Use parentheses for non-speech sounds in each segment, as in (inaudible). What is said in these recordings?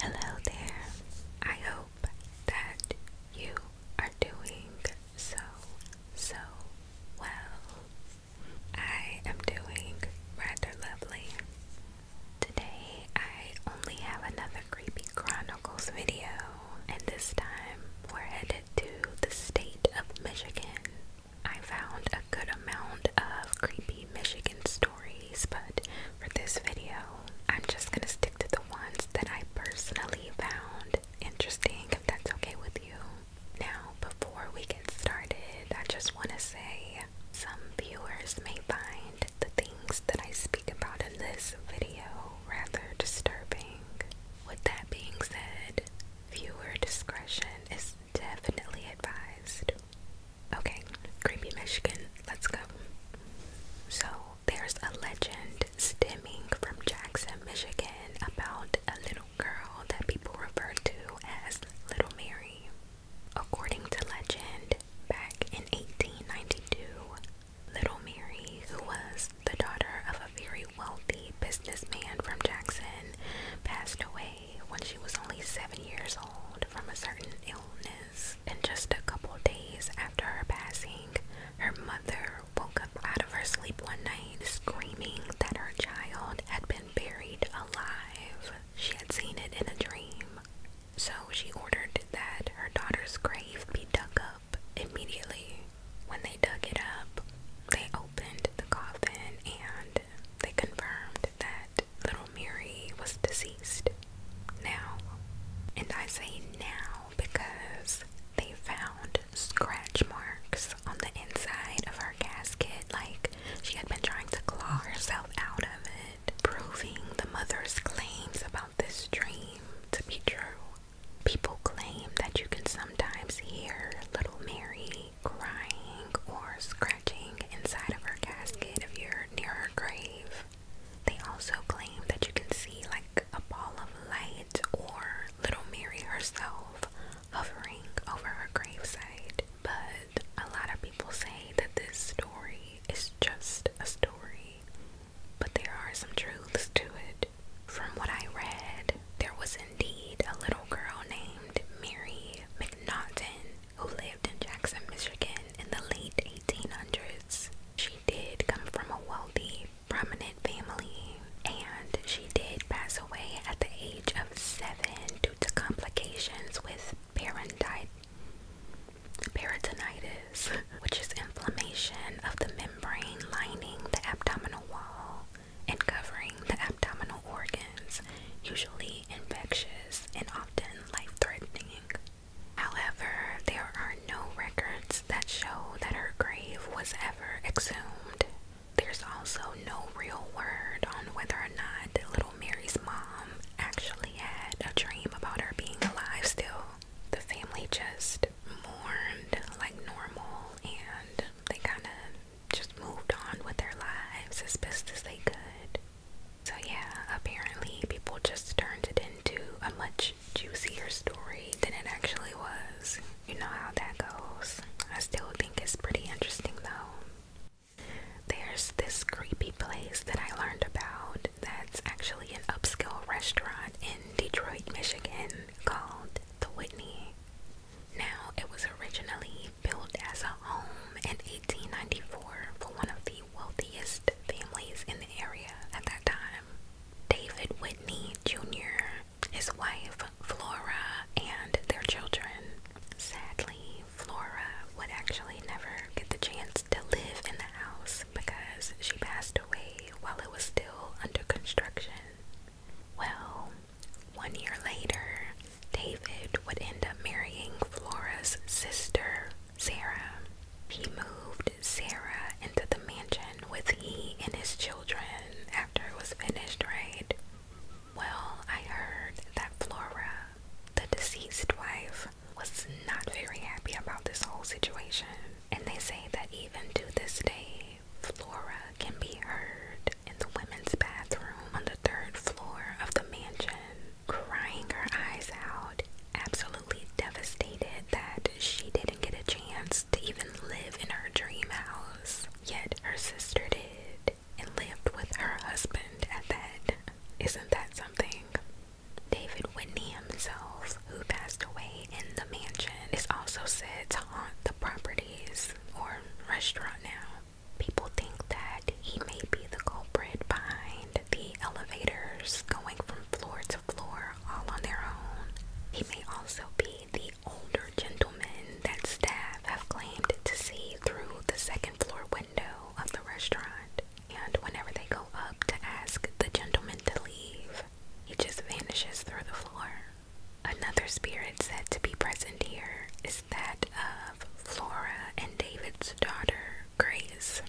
Hello there. I hope that you are doing so, so well. I am doing rather lovely. Today, I only have another Creepy Chronicles video, and this time we're headed to the state of Michigan. I found a good amount of creepy Michigan stories but for this video, I'm just gonna stick to the ones that I personally found interesting, if that's okay with you. Now, before we get started, I just wanna say some viewers may find the things that I speak about in this video rather disturbing. With that being said, viewer discretion is definitely advised. Okay, creepy Michigan, let's go. So, there's a legend stemming from Jackson, Michigan about a little girl that people refer to as Little Mary. According to legend, back in 1892, Little Mary, who was the daughter of a very wealthy businessman from Jackson, passed away when she was only seven years old from a certain illness. And just a couple days after her passing, her mother woke up out of her sleep one night screaming that her child had been buried alive. She had seen it in a dream. So she ordered that her daughter's grave be dug up immediately. When they dug it up, they opened the coffin and they confirmed that little Mary was deceased now. And I say now because they found scratch marks on the inside of her casket, like she had been trying to claw herself out of it, proving the mother's claims about this dream to be true. People claim that you can sometimes hear little Mary crying or scratching inside of her casket if you're near her grave. They also claim that you can see like a ball of light or Little Mary herself hovering over her gravesite. But a lot of people say that this story is just a story, but there are some truths to it. From what I read, there was indeed a little girl named Mary McNaughton who lived in Jackson, Michigan in the late 1800s. She did come from a wealthy, prominent family, and she did pass away at the age of seven due to complications with peritonitis, (laughs) which is inflammation of the membrane lining the abdominal wall and covering the abdominal organ usually infectious and often life threatening. However, there are no records that show that her grave was ever exhumed. There's also no real word on whether or not little Mary's mom actually had a dream about her being alive still. The family just mourned like normal and they kind of just moved on with their lives as best as they could. So, yeah, apparently people just turned it into a much juicier story than it actually was. You know how that goes. I still think it's pretty interesting though. There's this creepy place that I learned about that's actually an upscale restaurant in Detroit, Michigan called The Whitney. Now, it was originally built as a home in 1894 for one of the wealthiest families in the area at that time. David Whitney Jr., his wife Flora, and their children. Sadly, Flora would actually never get the chance to live in the house because she passed away while it was still under construction. Well, one year later, David would end up marrying Flora's sister, Sarah. He moved Sarah into the mansion with he and his children after it was finished, right? Well, I heard that Flora, the deceased wife, was not very happy about this whole situation. And they say that even to this day, Flora can be heard in the women's bathroom on the third floor of the mansion crying her eyes out, absolutely devastated that she didn't get a chance to even live in her dream house. Yet her sister did and lived with her husband at that. Isn't that something? David Whitney himself, who passed away in the mansion, is also said to haunt the properties or restaurant now people think that he may be the culprit behind the elevators going from floor to floor all on their own. He may also be the older gentleman that staff have claimed to see through the second floor window of the restaurant. And whenever they go up to ask the gentleman to leave, he just vanishes through the floor. Another spirit said to be present here is that of Flora and David's daughter, Grace.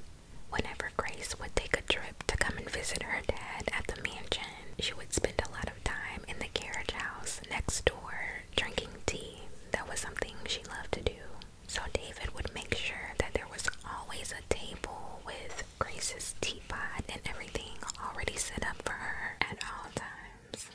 Whenever Grace would take a trip to come and visit her dad at the mansion, she would spend a lot of time in the carriage house next door drinking tea. That was something she loved to do. So David would make sure that there was always a table with Grace's teapot and everything already set up for her at all times.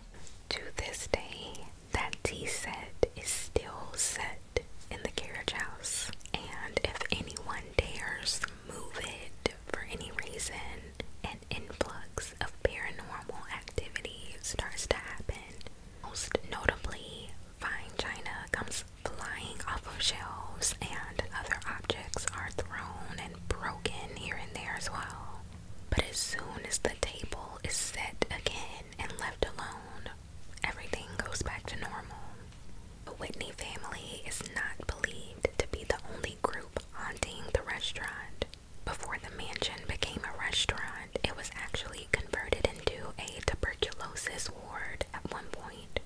To this day, that tea set is still set in the carriage house, and if anyone dares move it for any reason, an influx of paranormal activity starts to happen. Most notably, fine china comes flying off of shelves, and other objects are thrown and broken here and there as well. But as soon as the table is set again, and left alone, everything goes back to normal. The Whitney family is not believed to be the only group haunting the restaurant. Before the mansion became a restaurant, it was actually converted into a tuberculosis ward at one point.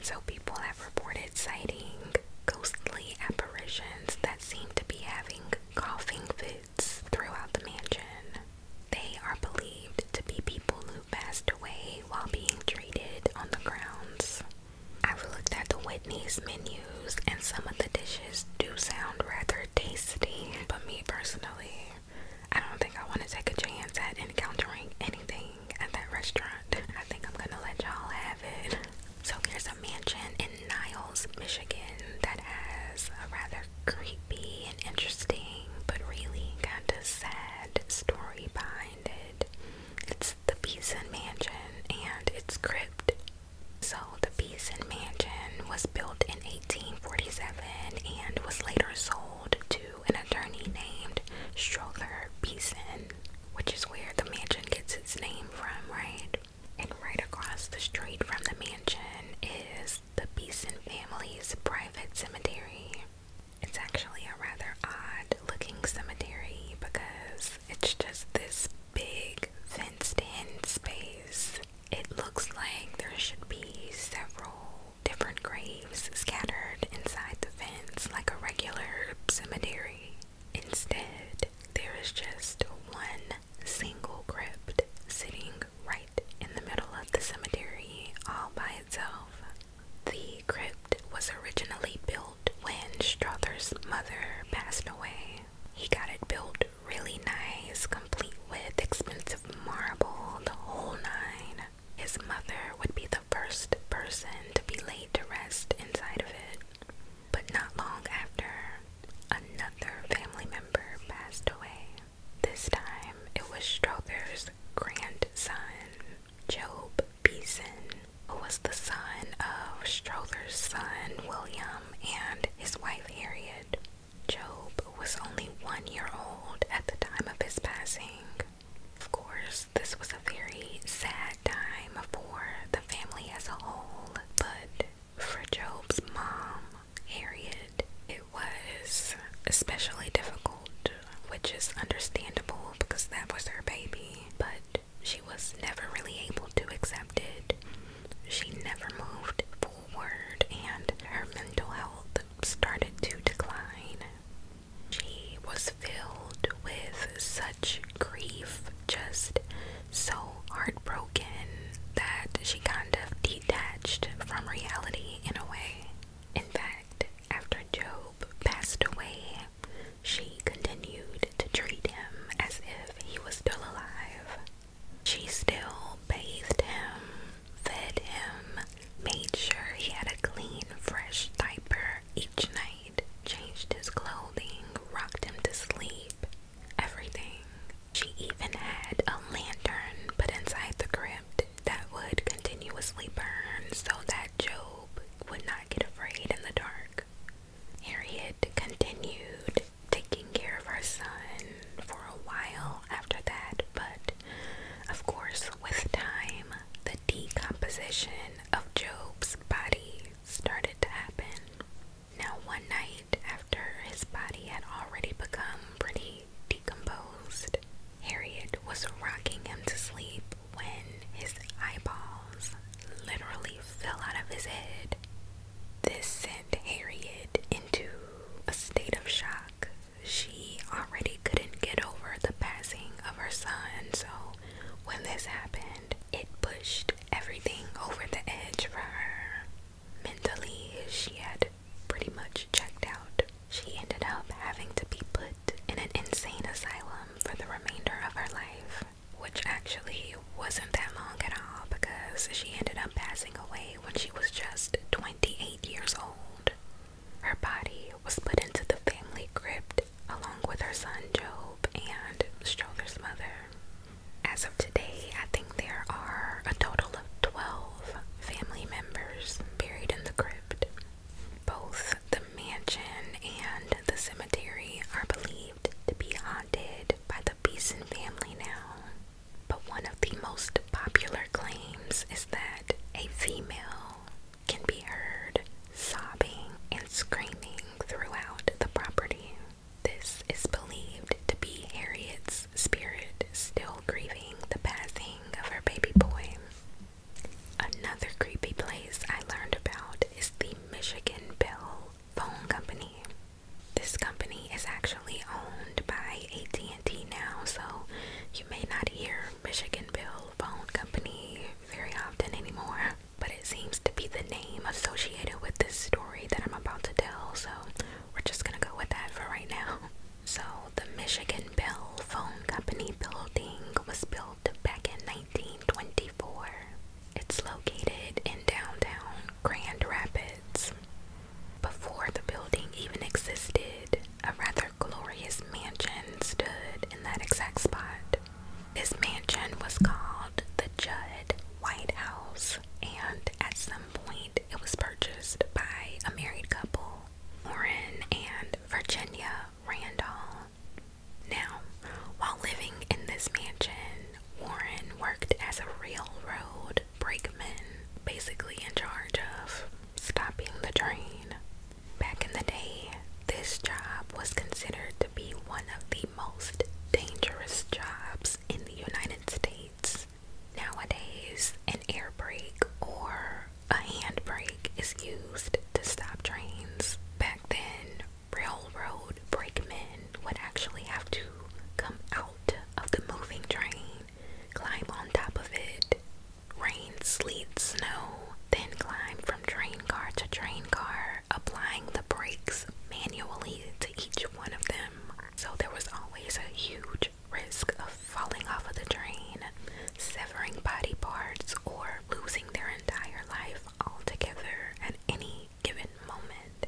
So people have reported sighting ghostly apparitions that seem to be having coughing fits throughout the mansion. They are believed to be people who passed away while being treated on the grounds. I've looked at the Whitney's menus and some of the dishes do sound rather tasty, but me personally, I don't think I want to take a chance at encountering anything at that restaurant. I think I'm gonna let y'all have it. So here's a mansion in Niles, Michigan that has a rather creepy and interesting, but really got a sad story behind it. It's the Beeson Mansion and its crypt. So, the Beeson Mansion was built in 1847 and was later sold to an attorney named Strother Beeson, which is where the mansion gets its name from, right? And right across the street from the mansion is the Beeson family's private cemetery. It's actually a rather odd looking cemetery because it's just this big fenced in space. It looks like there should be several different graves scattered inside the fence like a regular cemetery. Instead, there is just one single crypt sitting right in the middle of the cemetery all by itself. The crypt was originally built when Struthers' mother passed away. He got it built really nice, complete with expensive marble, the whole nine. His mother would be the first person to be laid to rest inside of it. But not long after, another family member passed away. This time it was Strother's grandson, Job Beeson, who was the son of Strother's son, William, and his wife, Harriet. Job was only one year old at the time of his passing. Of course, this was a very sad time for the family as a whole, but for Job's mom, Harriet, it was especially difficult, which is understandable because that was her baby, but she was never really able to accept it. She never moved forward, and her mental health started to decline. She was filled with such grief, just so heartbroken that she kind of detached from reality in a way. In fact, after Job passed away, she continued to treat him as if he was still alive. She still bathed him, fed him, made sure he had a clean, fresh diaper each night, changed his clothing, rocked him to sleep, everything. She even had a lantern but inside the crypt that would continuously burn so that Job would not get afraid in the dark. Harriet continued taking care of her son for a while after that, but of course, with time, the decomposition of Job's body started to happen. Now, one night after his body had already become pretty decomposed. Harriet was rocking him to sleep when his eyeballs literally fell out of his head. This sent Harriet into a state of shock. She already couldn't get over the passing of her son, so when this happened, it pushed everything over the edge for her. Mentally, she had pretty much checked out. She ended up having to be put in an insane asylum for the remainder of her life, which actually wasn't that long at all because she ended up passing away when she was just 28 years old. Her body was put into the family crypt along with her son Job and Strother's mother. As of today, I think there are a total of 12 family members buried in the crypt. Both the mansion and the cemetery are believed to be haunted by the Beeson family now. But one of the most popular claims is that a female can be heard sobbing and screaming throughout the property. This is believed to be Harriet's spirit still grieving the passing of her baby boy. Another creepy place I learned about is the Michigan Bell Phone Company. This company is actually owned by AT&T now, so you may not hear Michigan Bell Phone Company very often anymore, but it seems to be the name associated with this story that I'm about to tell, so we're just gonna go with that for right now. (laughs) So, the Michigan Bell Phone Company building was built back in 1924. It's located in downtown Grand Rapids. Before the building even existed, a rather glorious mansion stood in that exact spot. This mansion was called the Judd White House, and at some point it was purchased by a married couple Orrin, and Virginia Randall. Now, while living in this mansion, Warren worked as a railroad brakeman, basically in charge of stopping the train. Back in the day, this job was considered to be one of the most dangerous jobs in the United States. Nowadays, an air brake or a hand brake is used to stop trains. Back then, railroad brakemen would actually have to come out of the moving train, climb on top of it, rain, sleet, snow, then climb from train car to train car, applying the brakes manually to each one of them. So there was always a huge risk of falling off of the train, severing body parts, or losing their entire life altogether at any given moment.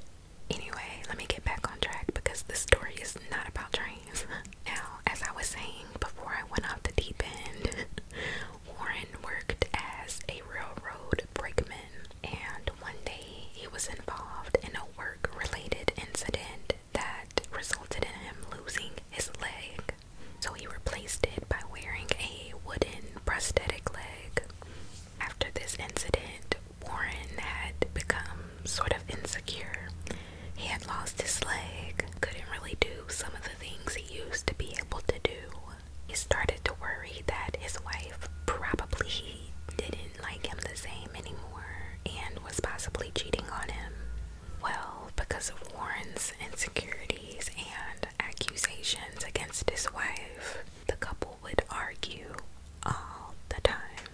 Anyway, let me get back on track because this story is not about trains. (laughs) now, as I was saying before I went off the deep end, (laughs) Warren worked as a railroad brakeman, and one day he was involved in a work related incident that resulted in him losing his leg. So he replaced it by wearing a wooden prosthetic leg. After this incident, Warren had become sort of insecure. He had lost his leg, couldn't really do some of the things he used to be able to do. He started to worry that his wife probably didn't like him the same anymore and was possibly cheating on him. Well, because of Warren's insecurities and accusations against his wife, the couple would argue all the time.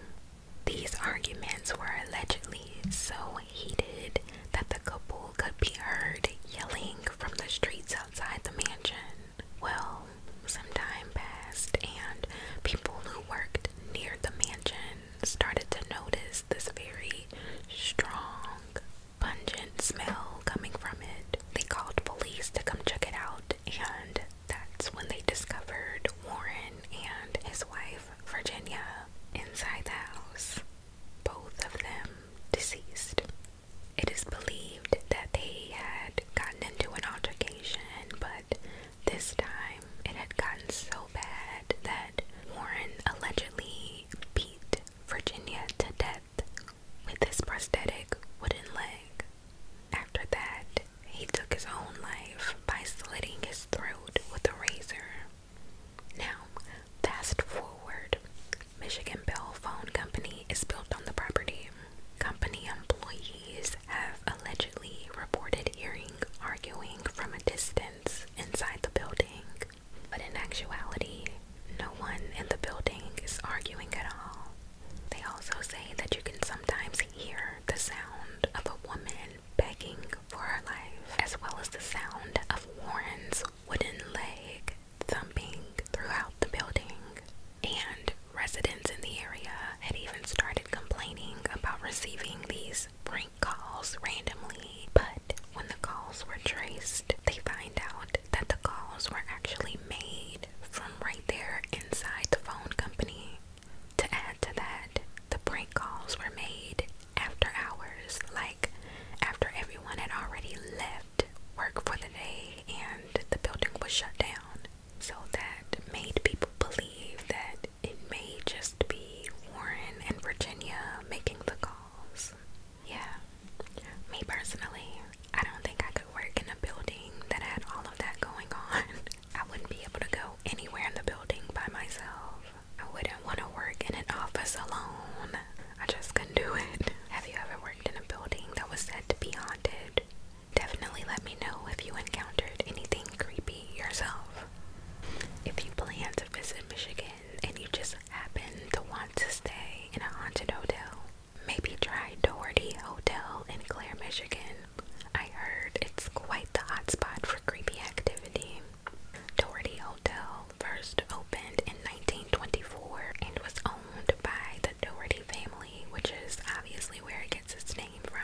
These arguments were allegedly so heated that the couple could be heard yelling from the streets outside the mansion. Well, some time passed, and people who worked near the mansion started to notice this very strong, pungent smell coming from it. They called police to come check it out, and that's when they discovered Warren and his wife, Virginia, inside the house, both of them deceased. It is believed that they had gotten into an altercation, but this time, it had gotten so bad that Warren allegedly beat Virginia to death with his prosthetic wooden leg. After that, he took his own life by slitting his throat with a razor. Now, fast forward. Michigan Bell Phone Company is built on the property. Company employees have allegedly reported hearing arguing from a distance friends inside the building, but in actuality, no one in the building is arguing at all. They also say that you can sometimes hear the sound of a woman begging for her life, as well as the sound of Warren's wooden leg thumping throughout the building. And residents in the area had even started complaining about receiving these these prank calls randomly, but when the calls were traced, they find out that the calls were actually made from right there inside the phone company. To add to that, the prank calls were made after hours, like after everyone had already left work for the day and the building was shut down. So that made people believe that it may just be Warren and Virginia making the calls. Yeah, me personally, I don't think I could work in a building that had all of that going on. (laughs) I wouldn't be able to go anywhere in the building by myself. I wouldn't want to work in an office alone. I just couldn't do it. (laughs) Have you ever worked in a building that was said to be haunted? Definitely let me know if you encountered anything being creepy yourself. If you plan to visit Michigan and you just happen to want to stay in a haunted hotel, maybe try Doherty Hotel in Clare, Michigan. I heard it's quite the hotspot for creepy activity. Doherty Hotel first opened in 1924 and was owned by the Doherty family, which is obviously where it gets its name from.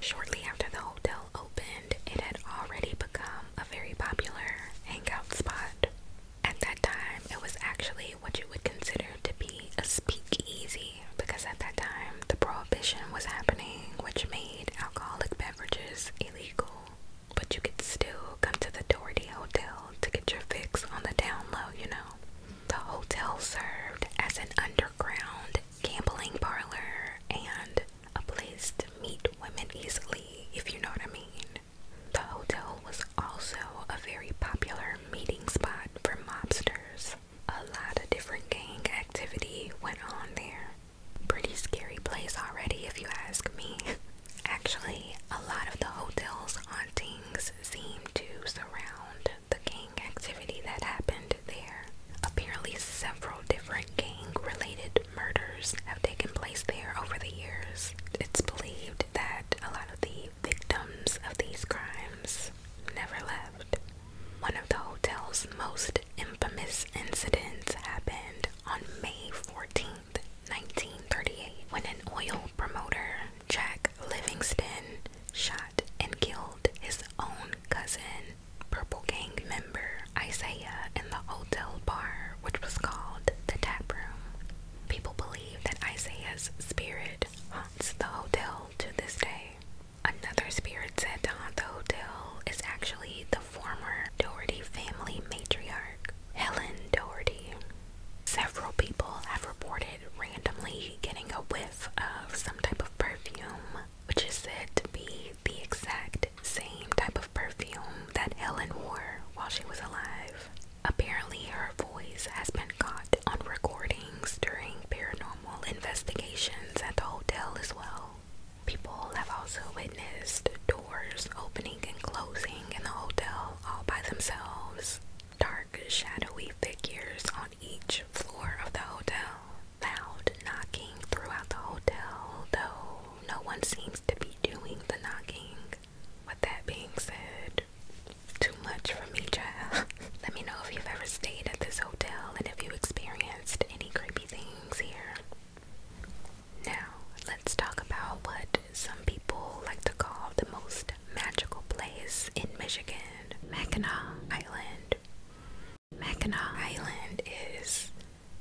Shortly after the hotel opened, it had already become a very popular hangout spot. At that time, it was actually what you would consider to be a speakeasy because at that time the prohibition was happening, which made alcoholic beverages illegal. But you could still come to the Doherty Hotel to get your fix on the down low, you know. The hotel served as an underground gambling parlor and a place to meet women easily, if you know what I mean. The hotel was also a very popular meeting spot for mobsters. A lot of different gang activity went on there. Pretty scary place already, if you ask me. (laughs) Actually, a lot of the hotel's hauntings seem to surround the gang activity that happened there. Apparently, several different gang related murders have taken place there over the years. It's believed that a lot of the victims of these crimes never left. One of the hotel's most infamous incidents happened on May Fourteenth, Nineteen 1938, when an oil promoter, Jack Livingston, shot and killed his own cousin, Purple Gang member Isaiah in the hotel bar, which was called the Tap Room. People believe that Isaiah's spirit haunts the hotel to this day. Another spirit said to haunt the hotel is actually the former Doherty family matriarch, Helen Doherty. Several people have reported randomly getting a whiff of some type of perfume which is said to be the exact same type of perfume that Ellen wore while she was alive. Apparently, her voice has been caught on recordings during paranormal investigations at the hotel as well. People have also witnessed doors opening and closing in the hotel all by themselves, dark, shadowy figures on each floor of the hotel, loud knocking throughout the hotel, though no one seems to be doing the knocking. With that being said, too much for me, child. (laughs) Let me know if you've ever stayed at this hotel and if you experienced any creepy things here. Now, let's talk about what some people like to call the most magical place in Michigan, Mackinac Island. Mackinac Island is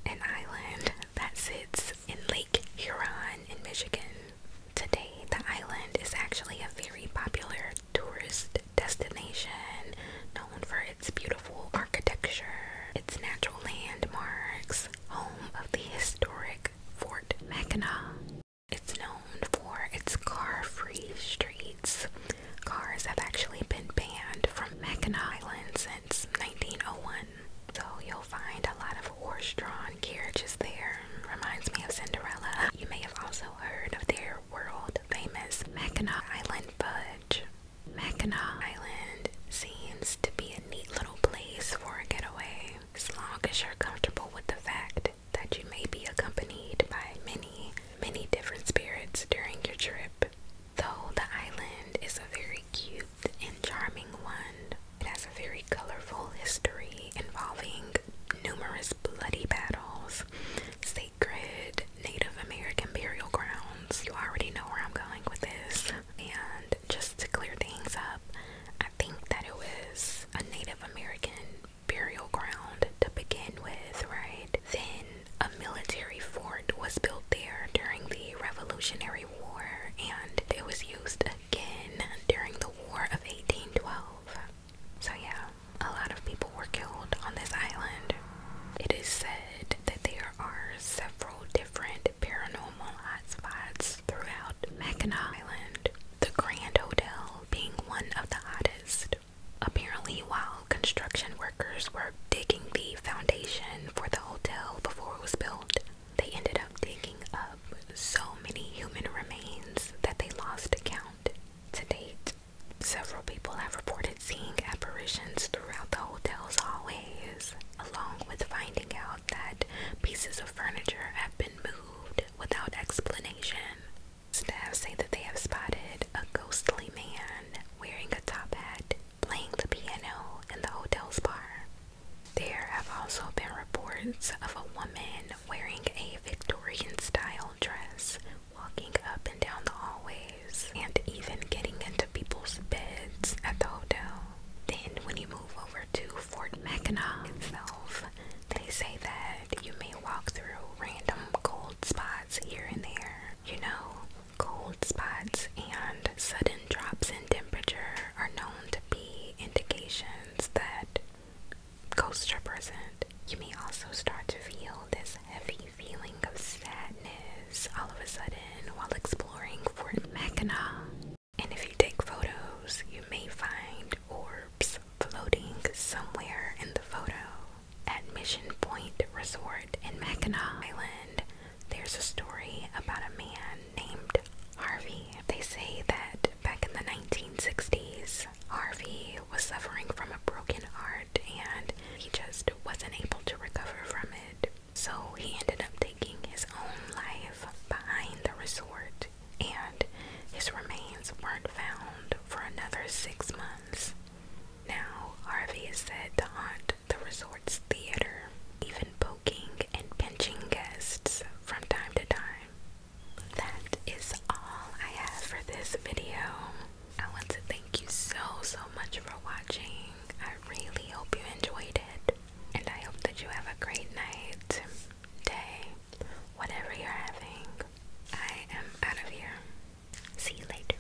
an island that sits in Lake Huron in Michigan. Today, the island is actually a very popular tourist destination known for its beautiful architecture, its natural landmarks, home of the historic Fort Mackinac. It's known for its car-free streets. Cars have actually been banned from Mackinac Island since 1901, so you'll find a lot of horse-drawn carriages there. Reminds me of Cinderella. You may have also heard of their world-famous Mackinac Island fudge. Mackinac Island seems to be a neat little place for a getaway, as long as you're comfortable with the fact that you may be accompanied by many, many different spirits during your trip. Though the island is a very cute and charming one, it has a very colorful history involving numerous bloody battles, sacred Native American burial grounds. You already know where I'm going with this. And just to clear things up, I think that it was a Native American burial ground to begin with, right? Then a military fort was built there during the Revolutionary War and it was used again during the War of 1812. So, yeah, a lot of people were killed on this island. It is said that there are several different paranormal hotspots throughout Mackinac Island, the Grand Hotel being one of the hottest. Apparently, while construction workers were digging the foundation for the hotel before it was built. They ended up digging up so many human remains that they lost count. To date, several people have reported seeing apparitions throughout the hotel's hallways, along with finding out that pieces of furniture have been moved without explanation. Staff say that they have spotted a ghostly man wearing a top hat playing the piano in the hotel's bar. There have also been reports of a woman wearing a Victorian style dress walking up and down the hallways and even getting into people's beds at the hotel. Then, when you move over to Fort Mackinac itself, they say that you may walk through random cold spots here and there. You know, Cold spots and sudden drops in temperature are known to be indications that ghosts are present. You may also start to feel this heavy feeling of sadness all of a sudden while exploring Fort Mackinac. And if you take photos, you may find orbs floating somewhere in the photo. At Mission Point Resort in Mackinac Island, there's a story about a man named Harvey. They say that back in the 1960s, Harvey was suffering from a broken heart and he just wasn't able to recover from it. So he ended up taking his own life behind the resort, and his remains weren't found for another six months. Now, Harvey is said to haunt the resort's theater, even poking and pinching guests from time to time. That is all I have for this video. I want to thank you so, so much for watching. I really hope you enjoyed it. And I hope that you have a great night, day, whatever you're having. I am out of here. See you later.